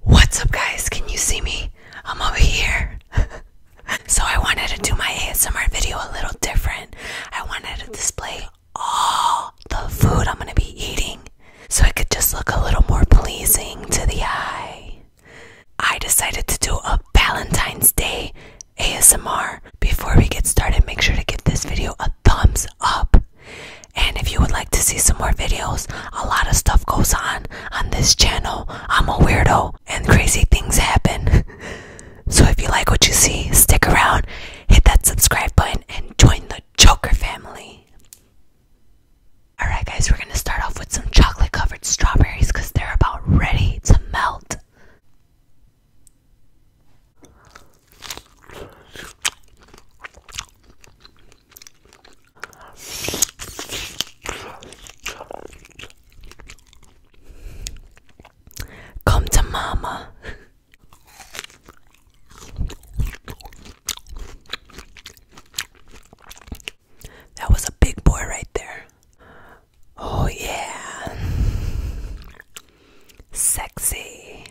What's up, guys? Can you see me? I'm over here. so, I wanted to do my ASMR video a little different. I wanted to display all the food I'm going to be eating so it could just look a little more pleasing to the eye. I decided to do a Valentine's Day ASMR. Before we get started, make sure to give this video a thumbs up. And if you would like to see some more videos, a lot of stuff goes on on this channel. I'm a weirdo and crazy things happen. so if you like what you see, stick around, hit that subscribe button, and join the Joker family. Alright, guys, we're gonna start off with some chocolate covered strawberries because they're about ready to melt. Come to mama. That was a big boy right there. Oh, yeah. Sexy.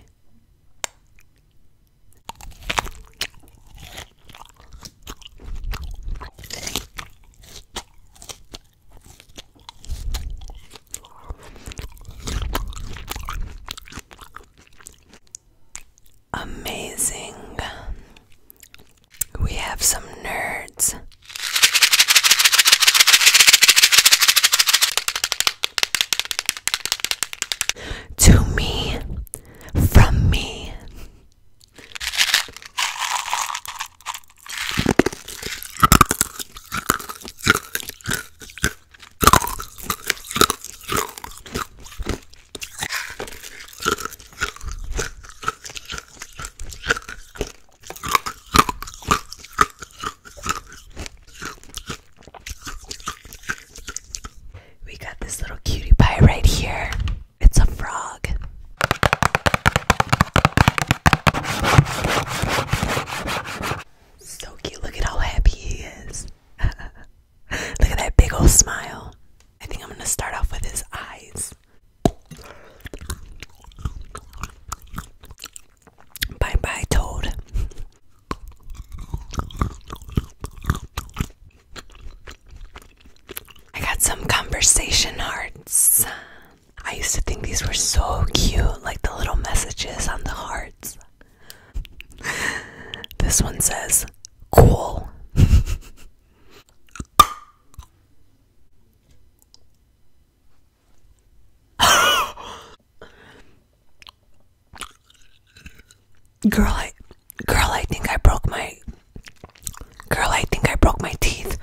Amazing. We have some nerds. To me, from me. We got this little cutie pie right here. It's a frog. So cute. Look at how happy he is. Look at that big old smile. I think I'm going to start off with his eyes. Bye bye, Toad. I got some conversation hearts. I used to think these were so cute, like the little messages on the hearts. this one says, cool. Girl, I, girl, I think I broke my. Girl, I think I broke my teeth.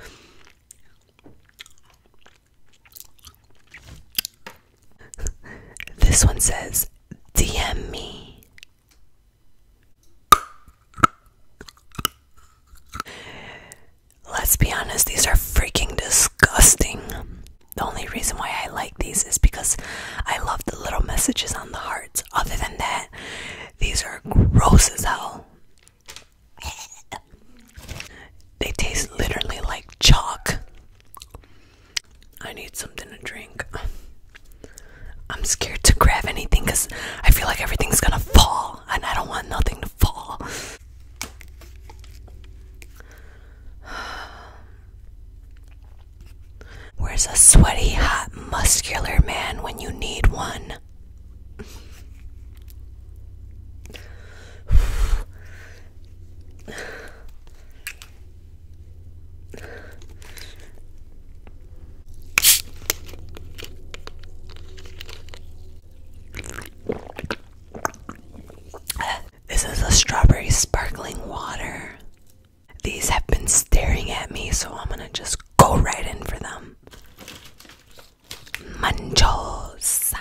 This one says, DM me. Let's be honest, these are freaking disgusting. The only reason why I like these is because I love the little messages on the hearts. Other than that, these are gross as hell. They taste literally like chalk. I need something to drink. I'm scared to grab anything because I feel like everything's gonna fall, and I don't want nothing to fall. Where's a sweaty, hot, muscular man when you need one? This is a strawberry sparkling water. These have been staring at me, so I'm gonna just go right in for them. Manchos.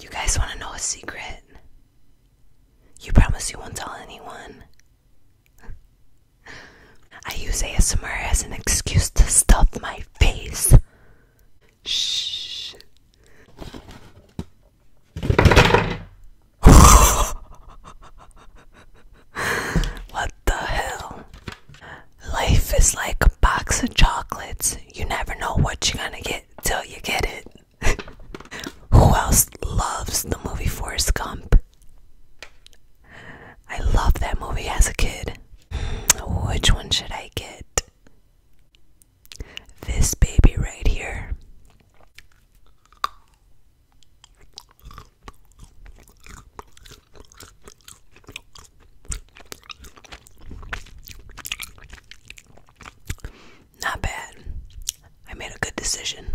You guys want to know a secret? You promise you won't tell anyone. I use ASMR as an excuse to stuff my face. Shh what the hell? Life is like a box of chocolates. You never know what you're gonna get till you get it. Who else loves the movie Forrest Gump? I loved that movie as a kid. Hmm, which one should I get? This baby right here. Not bad. I made a good decision.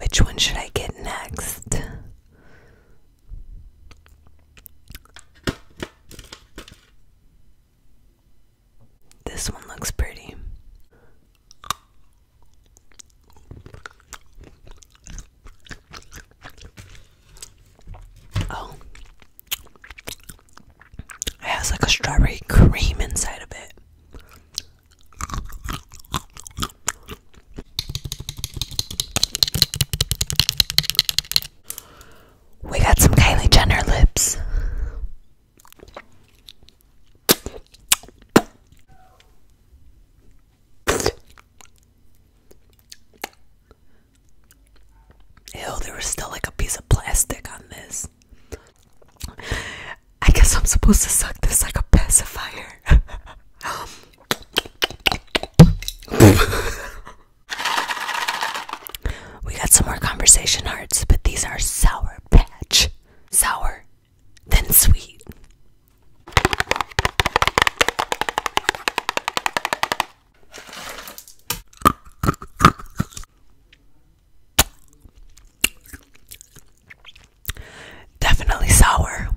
Which one should I get next? This one looks pretty. Oh. It has like a strawberry cream inside of it. We got some Kylie Jenner lips. Ew, there was still like a piece of plastic on this. I guess I'm supposed to suck this like a pacifier. we got some more conversation hearts, but these are sour patch. Sour, then sweet. Definitely sour.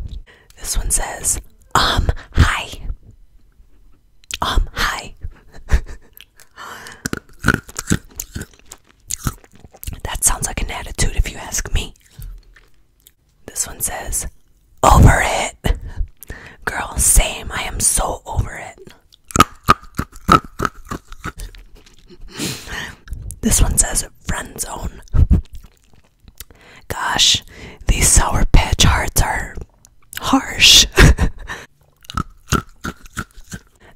This one says, um, hi. Um, hi. that sounds like an attitude if you ask me. This one says, over it. Girl, same. I am so over it. This one says friend zone. Gosh, these Sour Patch hearts are harsh.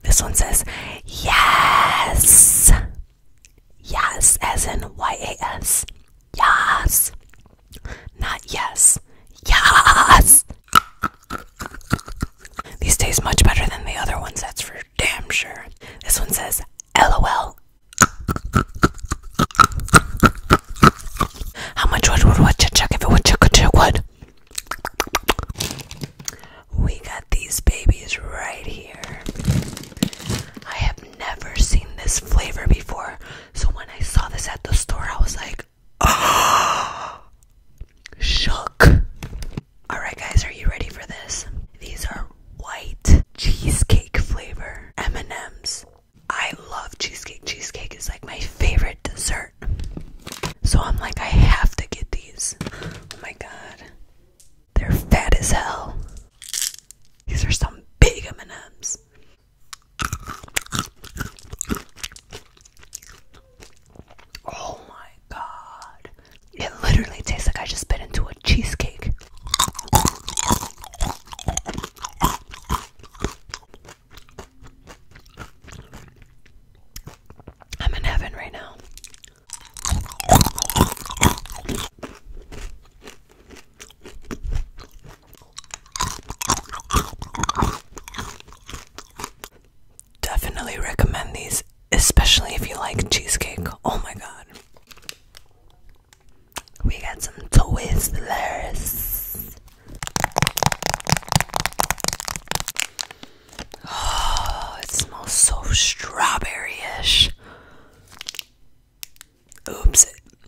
this one says, Yes! Yes, as in Y A S. Yes! Not yes. Yes! These taste much better than the other ones, that's for damn sure. This one says, LOL, how much would would what check if it would check check what? We got these babies right here. I have never seen this flavor before, so when I saw this at the store, I was like, oh, shook. Alright, guys, are you ready for this? These are white cheesecake flavor M&Ms. I love cheesecake. Cheesecake is like my favorite dessert. So I'm like I have to get these. Oh my god. They're fat as hell. These are some big M&Ms. Oh my god. It literally tastes like I just bit into a cheesecake. I'm in heaven right now. Definitely recommend these, especially if you like cheesecake. Oh my god. We got some Twizzlers. Oh, it smells so strawberry-ish. Oops,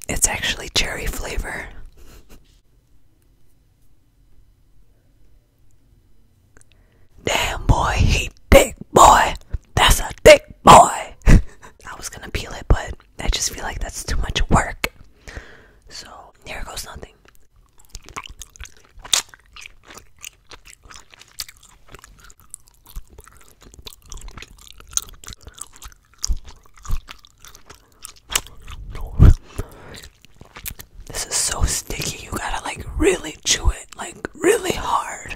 it's actually cherry flavor. Damn boy, he thick boy. That's a thick boy. I was gonna peel it, but I just feel like that's too much work. So here goes nothing. This is so sticky, you gotta like really chew it, like really hard.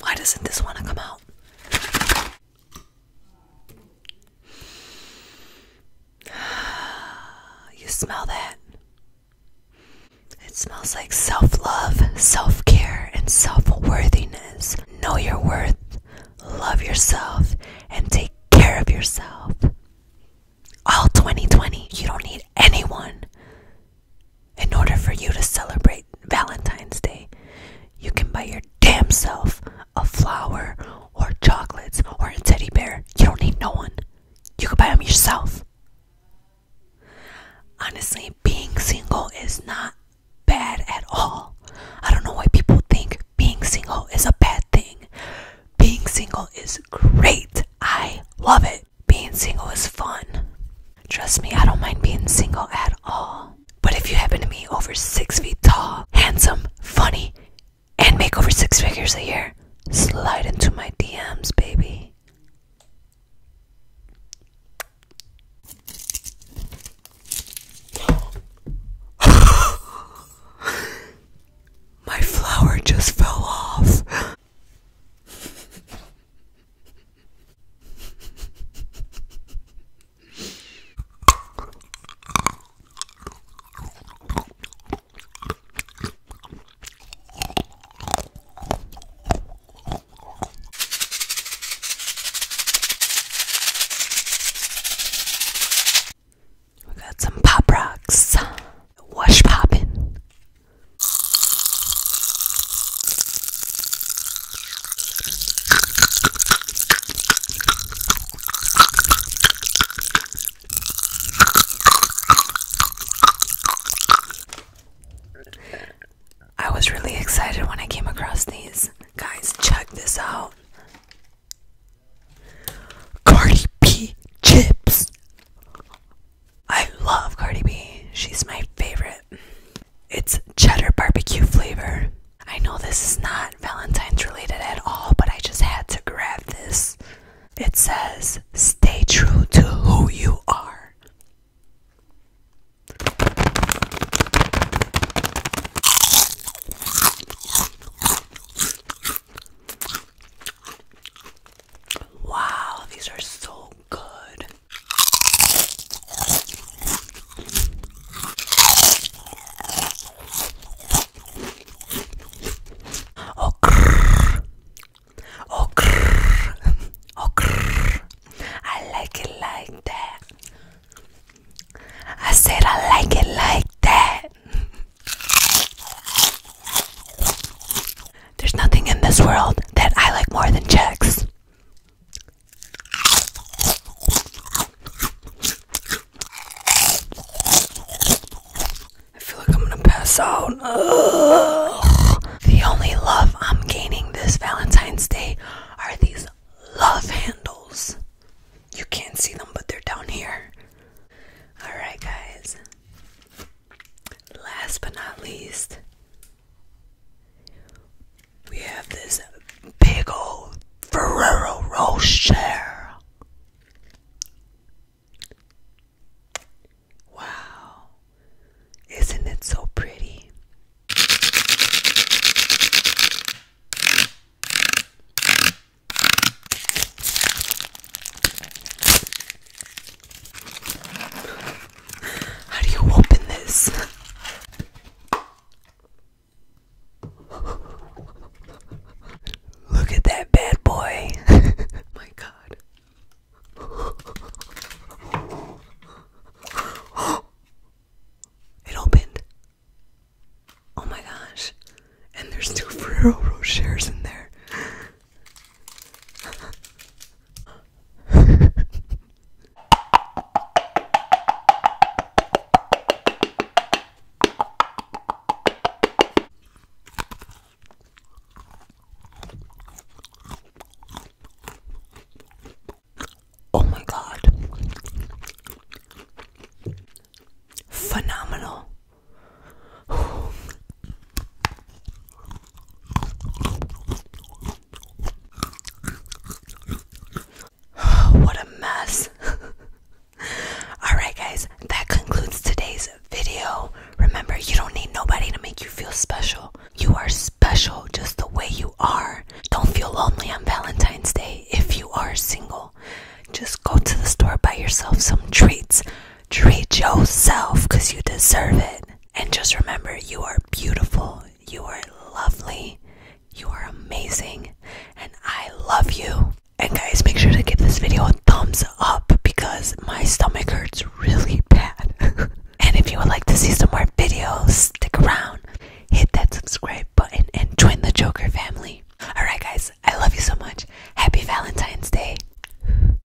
Why doesn't this want to come out? You smell that? It smells like self love, self care, and self worthiness. Know your worth, love yourself, and take care of yourself. All 2020, you don't need anyone in order for you to celebrate Valentine's Day, you can buy your damn self a flower or chocolates or a teddy bear. You don't need no one. You can buy them yourself. Honestly, being single is not bad at all. I don't know why people think being single is a bad thing. Being single is great. I love it. Being single is fun. Trust me, I don't mind being single at all at But if you happen to be over six feet tall, handsome, funny, and make over six figures a year, slide into my DMs, baby. my flower just fell off. We got some pop rocks. Wash poppin'. I was really excited when I came across these. Guys, check this out. Cardi B chips. I love Cardi B. She's my favorite. It's cheddar barbecue flavor. I know this is not Valentine's related at all, but I just had to grab this. It says, Stay true to who you are. Wow, these are so good. Oh, grrr. Oh, oh I like it like that. I said I like it like that. There's nothing in this world that I like more than checks. I feel like I'm gonna pass out. The only love I'm gaining this Valentine's Day are these love handles. You can't see them, but they're down here. Alright, guys last but not least, we have this big old Ferrero Rocher. Wow, isn't it so pretty? How do you open this? Look at that bad boy. My god. it opened. Oh my gosh. And there's two Ferrero Rochers in there oh my god. Phenomenal. what a mess. Alright, guys, that concludes today's video. Remember, you don't need nobody to make you feel special. You are special just the way you are. Don't feel lonely on Valentine's Day if you are single. Just go to the store, buy yourself some treats, Treat yourself because you deserve it. And just remember, you are beautiful, you are lovely, you are amazing, and I love you. And guys, make sure to give this video a thumbs up because my stomach hurts really bad. and if you would like to see some more videos, stick around, hit that subscribe button, and join the Joker family. Alright, guys, I love you so much. Happy Valentine's Day.